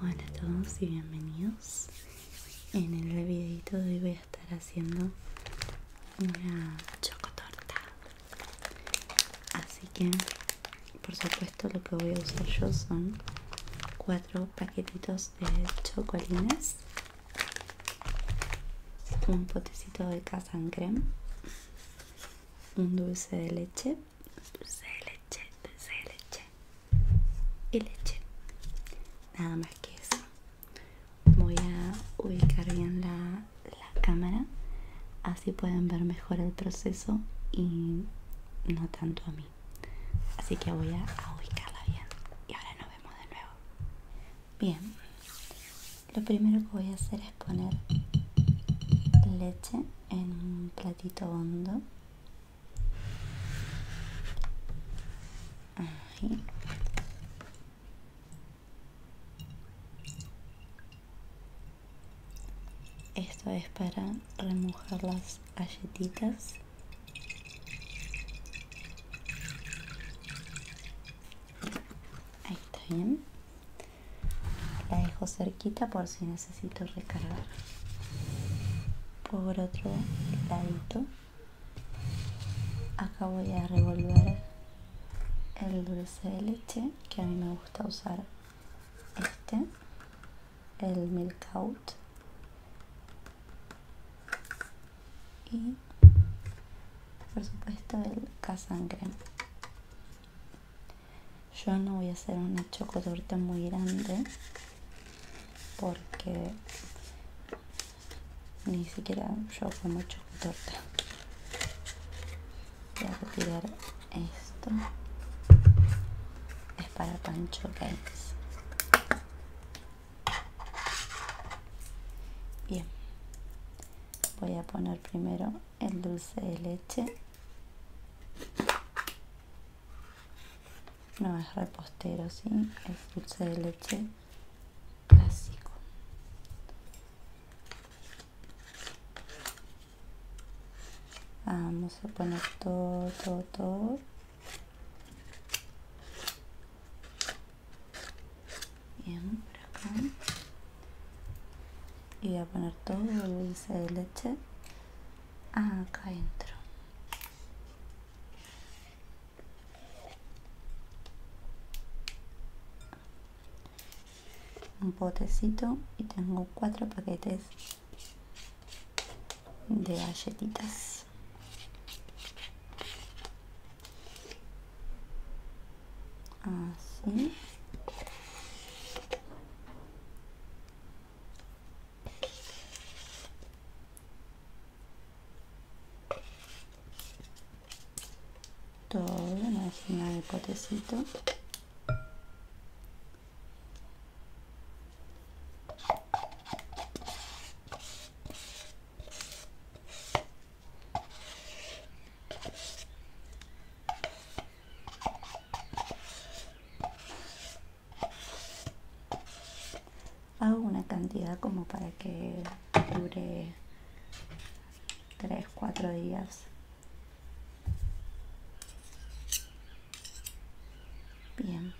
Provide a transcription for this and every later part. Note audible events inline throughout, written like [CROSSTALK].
Hola a todos y bienvenidos. En el videito de hoy voy a estar haciendo una chocotorta. Así que, por supuesto, lo que voy a usar yo son cuatro paquetitos de chocolines, un potecito de casan creme, un dulce de leche leche, leche y leche. Nada más que eso. Voy a ubicar bien la, la cámara, así pueden ver mejor el proceso y no tanto a mí. Así que voy a ubicarla bien. Y ahora nos vemos de nuevo. Bien, lo primero que voy a hacer es poner leche en un platito hondo esto es para remojar las galletitas ahí está la dejo cerquita por si necesito recargar por otro lado acá voy a revolver el dulce de leche que a mí me gusta usar este el milk out y por supuesto el casangre yo no voy a hacer una chocotorte muy grande porque ni siquiera yo como torta. voy a retirar esto es para pancho games bien voy a poner primero el dulce de leche no es repostero, ¿sí? Es dulce de leche clásico. Vamos a poner todo, todo, todo. Bien, por acá y voy a poner todo el dulce de leche acá adentro un potecito y tengo cuatro paquetes de galletitas así todo la máquina del potecito hago una cantidad como para que dure 3 4 días bien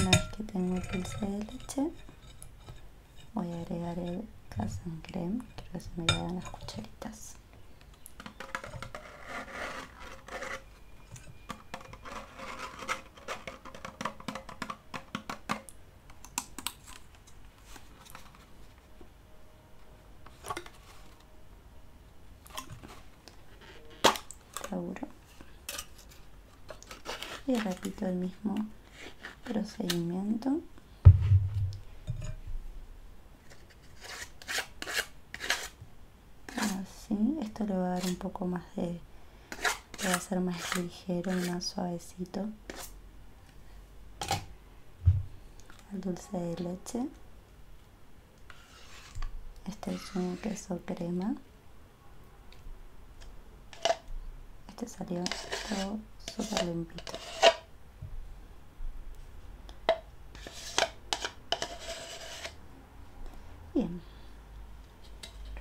una vez que tengo el dulce de leche voy a agregar el casan creme Creo que se me llevan las cucharitas y repito el mismo procedimiento así ah, esto le va a dar un poco más de va a ser más ligero y más suavecito al dulce de leche este es un queso crema este salió todo súper limpito Bien.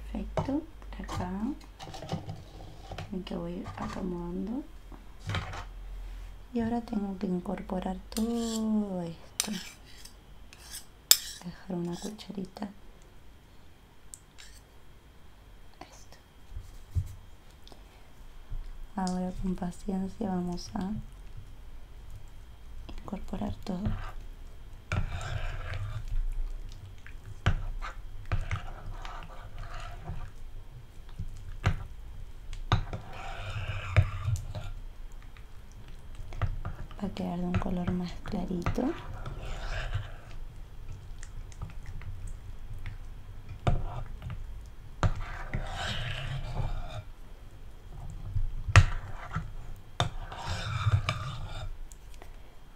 Perfecto. acá. Ven que voy acomodando. Y ahora tengo que incorporar todo esto. Dejar una cucharita. Esto. Ahora con paciencia vamos a incorporar todo. Va a quedar de un color más clarito.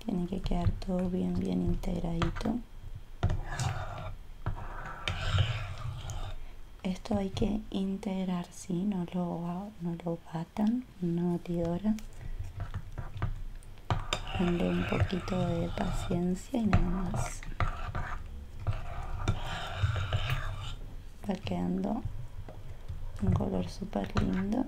Tiene que quedar todo bien, bien integradito. Esto hay que integrar, si, No lo, no lo batan no batidora. un poquito de paciencia y nada más. Está quedando un color super lindo.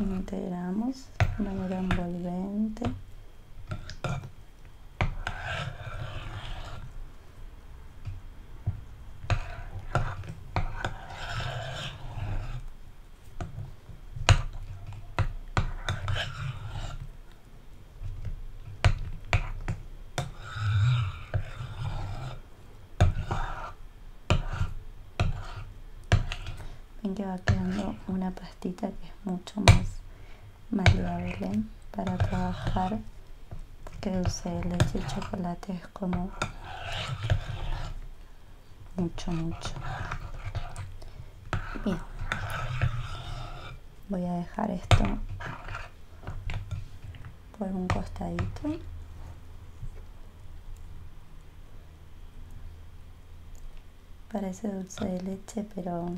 integramos de manera envolvente Ven que va quedando una pastita que es mucho más maleable para trabajar que dulce leche y chocolate como mucho mucho bien voy a dejar esto por un costadito parece dulce de leche pero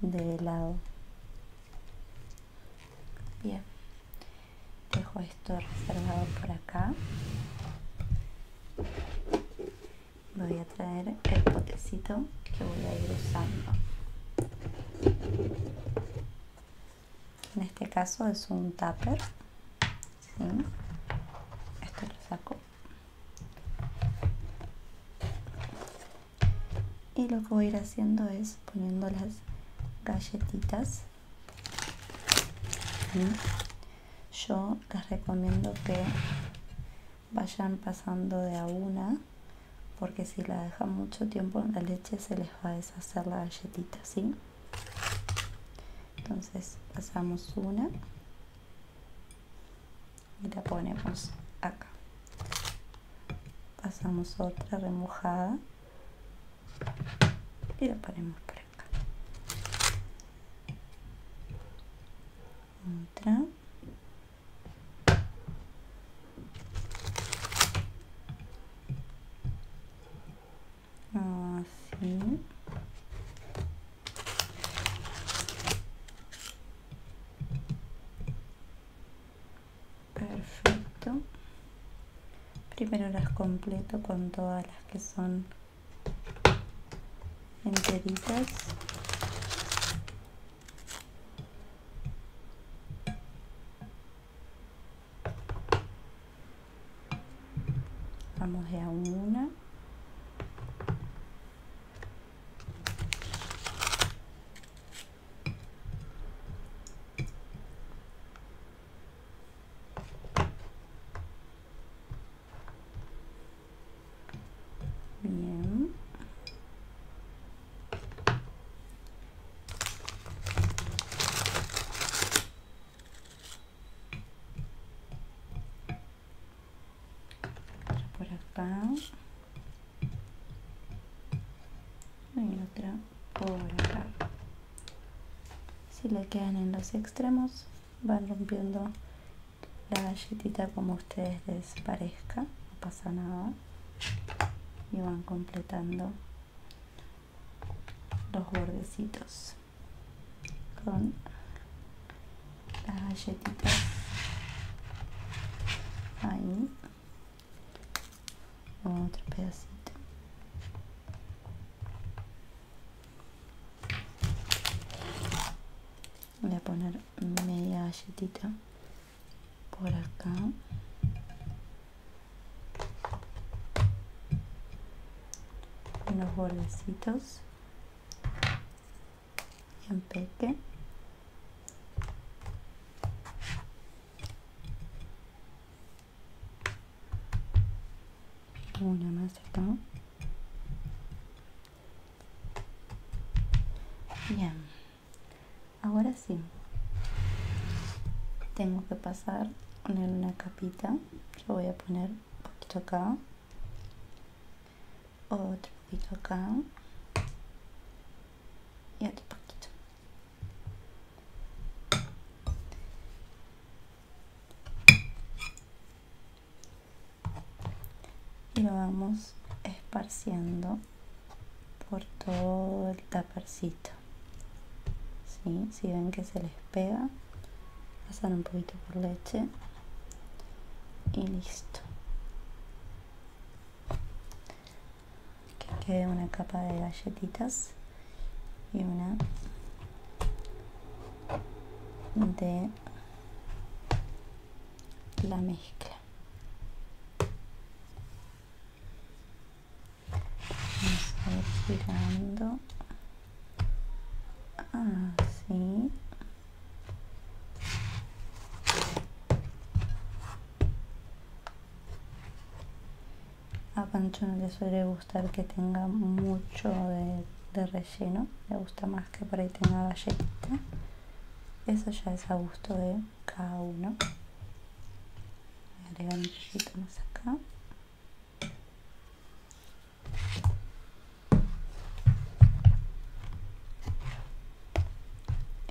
de helado bien dejo esto reservado por acá voy a traer el potecito que voy a ir usando en este caso es un tupper esto lo saco y lo que voy a ir haciendo es poniendo las galletitas yo les recomiendo que vayan pasando de a una porque si la dejan mucho tiempo en la leche se les va a deshacer la galletita, Entonces pasamos una y la ponemos acá. Pasamos otra remojada y lo ponemos por acá otra así perfecto primero las completo con todas las que son enteritas vamos a una Bien. Por acá. Y otra por acá si le quedan en los extremos van rompiendo la galletita como a ustedes les parezca no pasa nada y van completando los bordecitos con las galletitas ahí otro pedacito. Voy a poner media galletita por acá. Unos bordecitos. en peque. Una más acá. Bien. Ahora sí. Tengo que pasar, poner una capita. Yo voy a poner un poquito acá. Otro poquito acá. Y otro poquito y lo vamos esparciendo por todo el tapercito si ven que se les pega pasan un poquito por leche y listo que quede una capa de galletitas y una de la mezcla vamos a girando así ah, a Pancho no le suele gustar que tenga mucho de, relleno, le gusta más que por ahí tenga galletita. Eso ya es a gusto de cada uno. Voy un poquito más acá.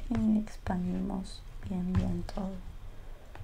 Y eh, expandimos bien bien todo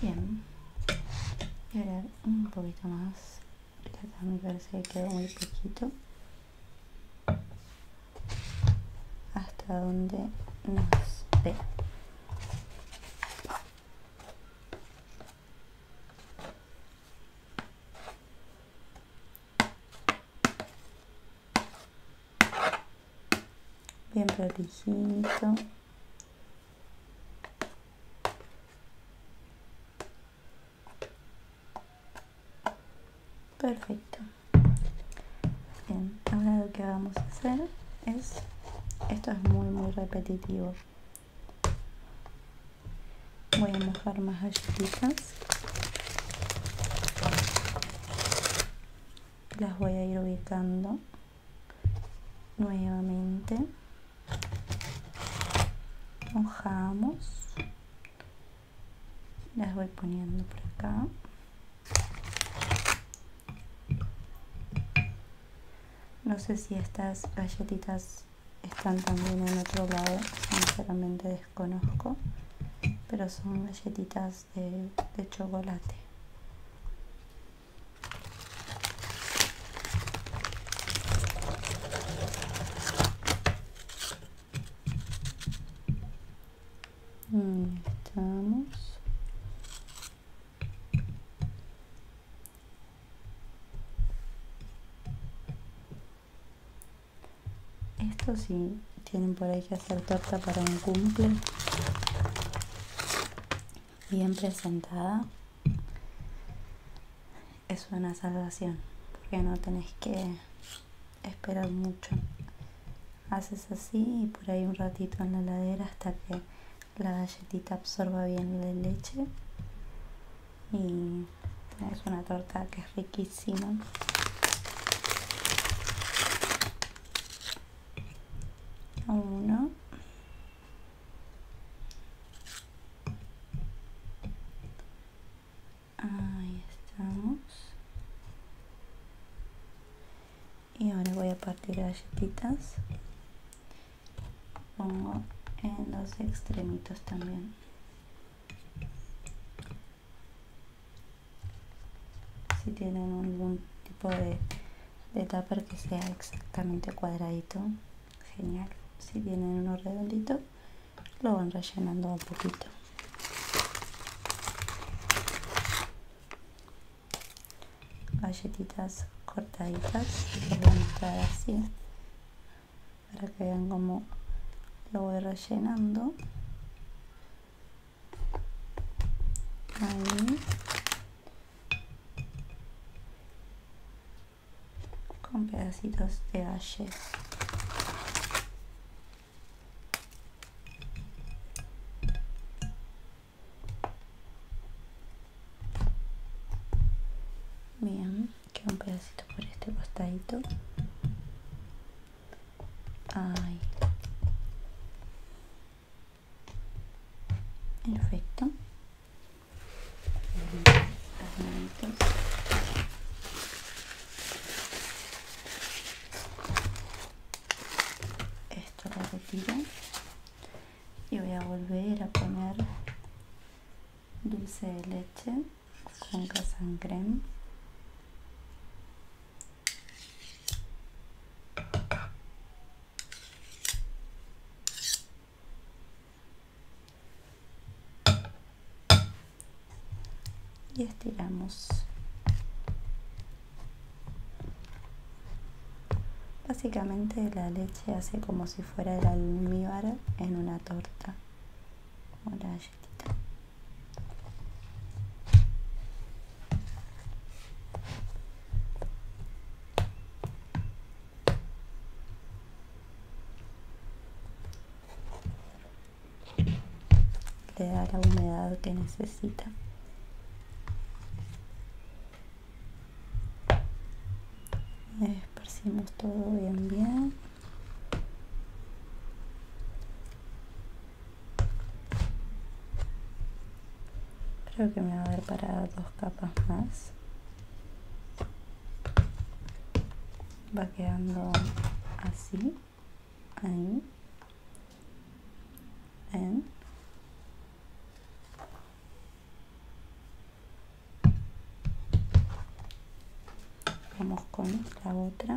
Bien. Voy a un poquito más. Acá me parece que quedó muy poquito. Hasta donde nos ve bien protegido Perfecto. Bien, ahora lo que vamos a hacer es, esto es muy muy repetitivo. Voy a mojar más galletitas. Las voy a ir ubicando nuevamente mojamos las voy poniendo por acá no sé si estas galletitas están también en otro lado sinceramente desconozco pero son galletitas de, de chocolate Estamos. Esto sí, tienen por ahí que hacer torta para un cumple bien presentada es una salvación porque no tenés que esperar mucho haces así y por ahí un ratito en la heladera hasta que la galletita absorba bien la leche y tenés una torta que es riquísima uno ahí estamos y ahora voy a partir galletitas pongo en los extremitos también si tienen algún tipo de de tapar que sea exactamente cuadradito genial si tienen unos redondito lo van rellenando un poquito galletitas cortaditas así para que vean como lo voy rellenando con pedacitos de ayer. Bien, que un pedacito por este costadito. Ahí perfecto esto lo retiro y voy a volver a poner dulce de leche con casan y estiramos básicamente la leche hace como si fuera el almíbar en una torta la galletita le da la humedad que necesita esparcimos todo bien bien creo que me va a dar para dos capas más va quedando así ahí en vamos con la otra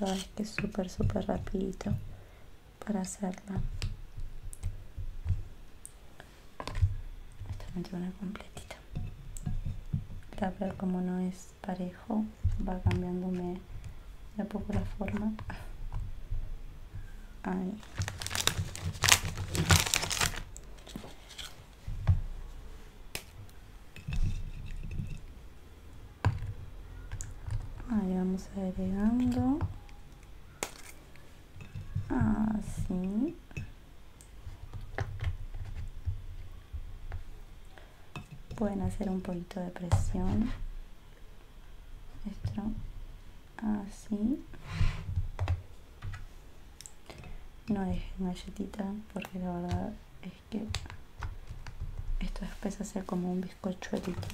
ahora es que es súper súper rapidito para hacerla esta me completita la veo como no es parejo va cambiándome de a poco la forma Ahí. Ahí vamos agregando. Así. Ah, pueden hacer un poquito de presión esto así no dejen galletita porque la verdad es que esto después ser como un bizcochuelito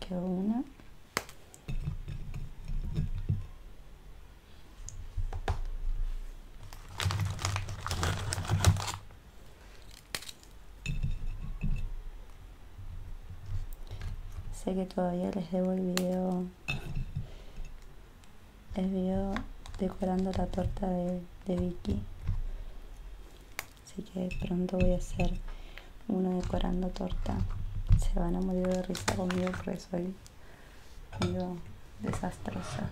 quedó una Sé que todavía les debo el video. El video decorando la torta de, Vicky. Así que pronto voy a hacer uno decorando torta. Se van a morir de risa conmigo porque soy yo desastrosa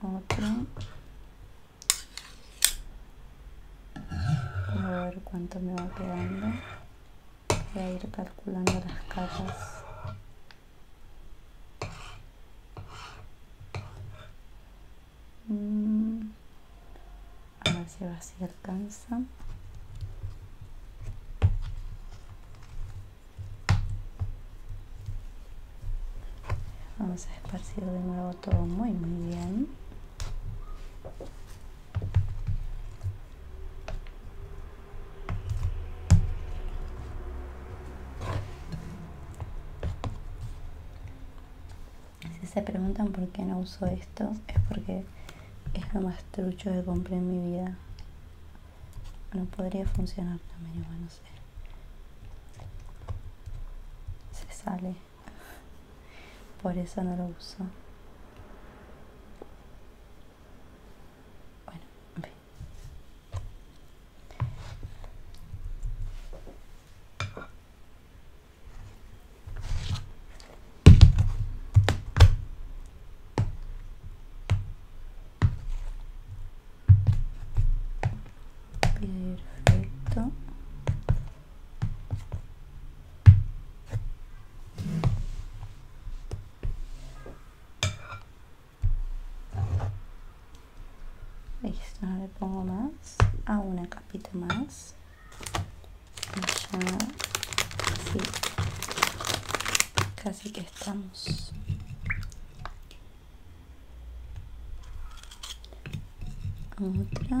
otro a ver cuánto me va quedando voy a ir calculando las Mmm. a ver si si alcanza Vamos a esparcir de nuevo todo muy muy bien. Si se preguntan por qué no uso esto, es porque es lo más trucho que compré en mi vida no podría funcionar también, no sé. Se sale. Por eso no lo uso. Bueno, Perfecto. Listo, le pongo más. A ah, una capita más. Casi que estamos otra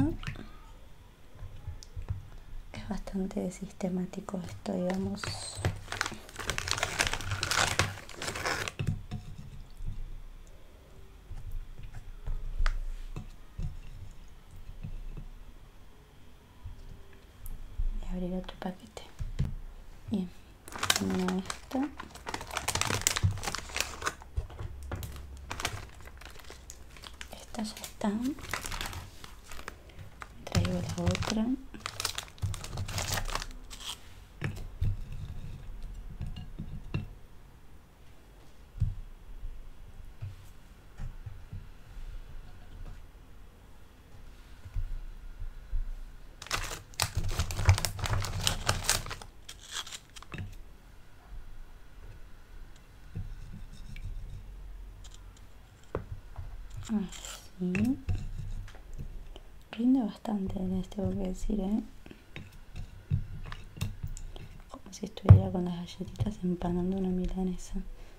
es bastante sistemático esto digamos y abrir otro paquete bien esta, esto ya está. traigo la otra Así. Ah, Rinde bastante en este, tengo que decir, ¿eh? Como si estuviera con las galletitas empanando una milanesa.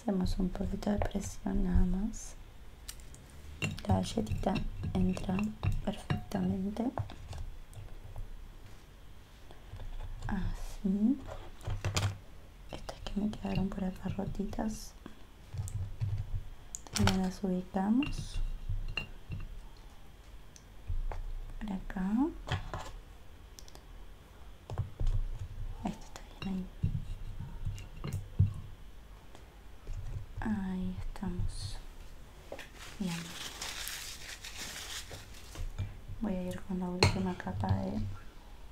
hacemos un poquito de presión nada más la galletita entra perfectamente así estas que me quedaron por acá rotitas y las ubicamos por acá está ahí ahí estamos voy a ir con la última capa de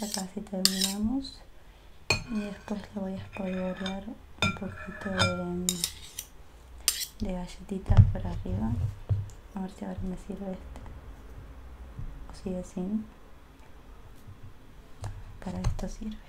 ya casi terminamos y después le voy a espolvorear un poquito de, de galletitas por arriba a ver si ahora me sirve este o sigue sin para esto sirve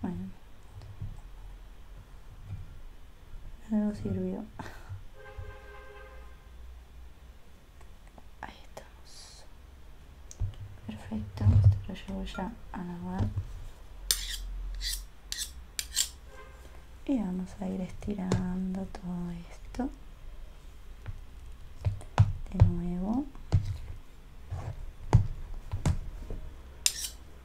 Bueno. Algo sirvió. Ahí estamos. Perfecto. Esto lo llevo ya a lavar. Y vamos a ir estirando todo esto. De nuevo.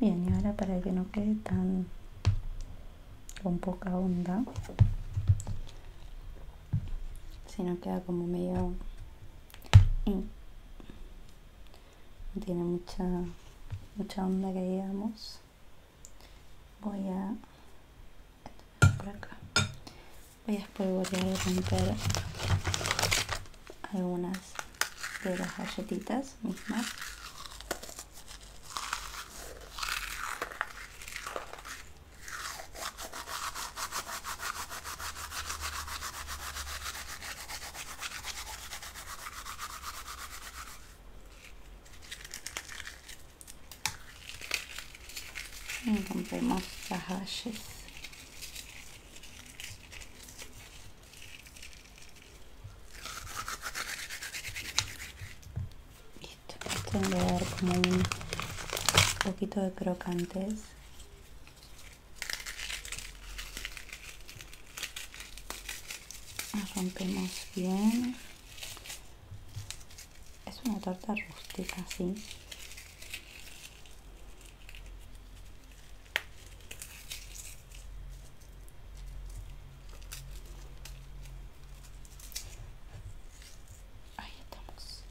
Bien, y ahora para que no quede tan con poca onda, sino queda como medio... Mm, no tiene mucha, mucha onda que digamos voy a por acá voy a espolvorear y romper algunas de las galletitas mismas y rompemos las Y esto le dar como un poquito de crocantes rompemos bien es una torta rústica así ahí estamos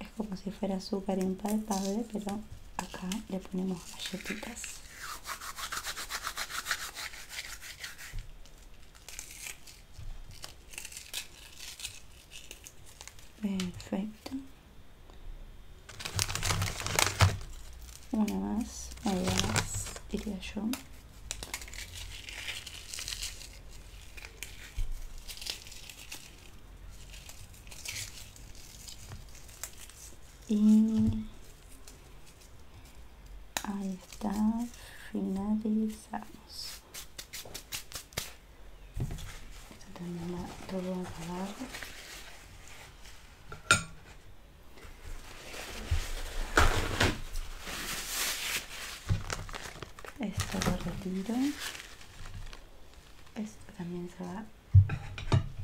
es como si fuera azúcar impalpable pero acá le ponemos galletitas perfecto una más una más diría yo y ahí está finalizamos esto también va todo acabar, esto lo retiro esto también se va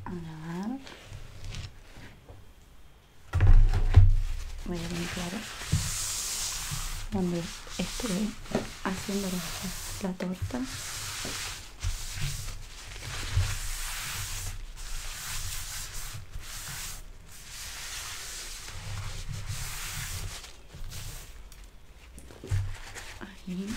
a lavar me a muy claro cuando estuve haciendo la, la torta Ahí.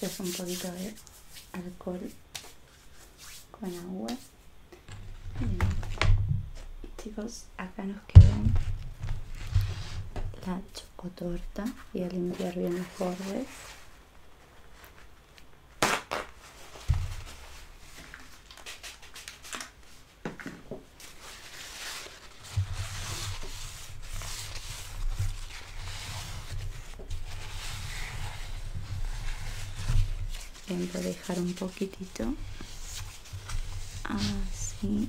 esto es un poquito de alcohol con agua. Chicos, acá nos quedan la chocotorta. y a limpiar bien los bordes. Vengo a dejar un poquitito. Así.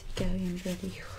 Así que bien dijo.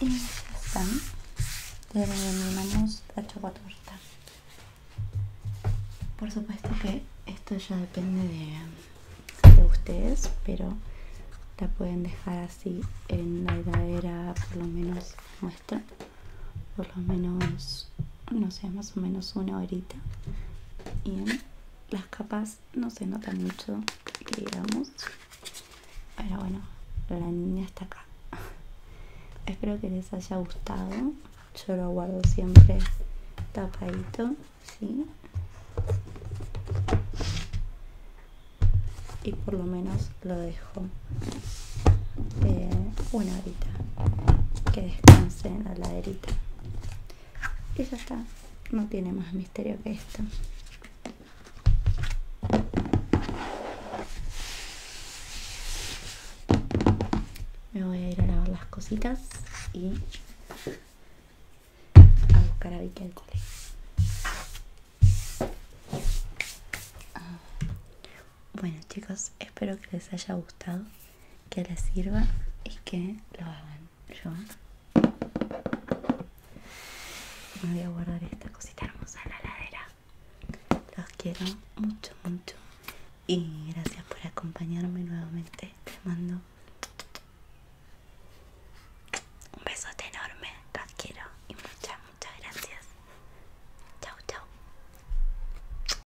Y ya están. Terminamos la chocotorta. Por supuesto que esto ya depende de, de ustedes, pero la pueden dejar así en la heladera, por lo menos nuestra, por lo menos no sé, más o menos una horita. Y las capas no se notan mucho, digamos. Pero bueno, la niña está acá. [LAUGHS] Espero que les haya gustado. Yo lo guardo siempre tapadito, ¿sí? Y por lo menos lo dejo eh, una horita. Que descanse en la laderita que y ya está no tiene más misterio que esto me voy a ir a lavar las cositas y a buscar a Vicky al cole ah. bueno chicos espero que les haya gustado que les sirva y que lo hagan. Yo me voy a guardar esta cosita hermosa en la ladera. Los quiero mucho, mucho. Y gracias por acompañarme nuevamente. Te mando un besote enorme. Los quiero. Y muchas, muchas gracias. chao chao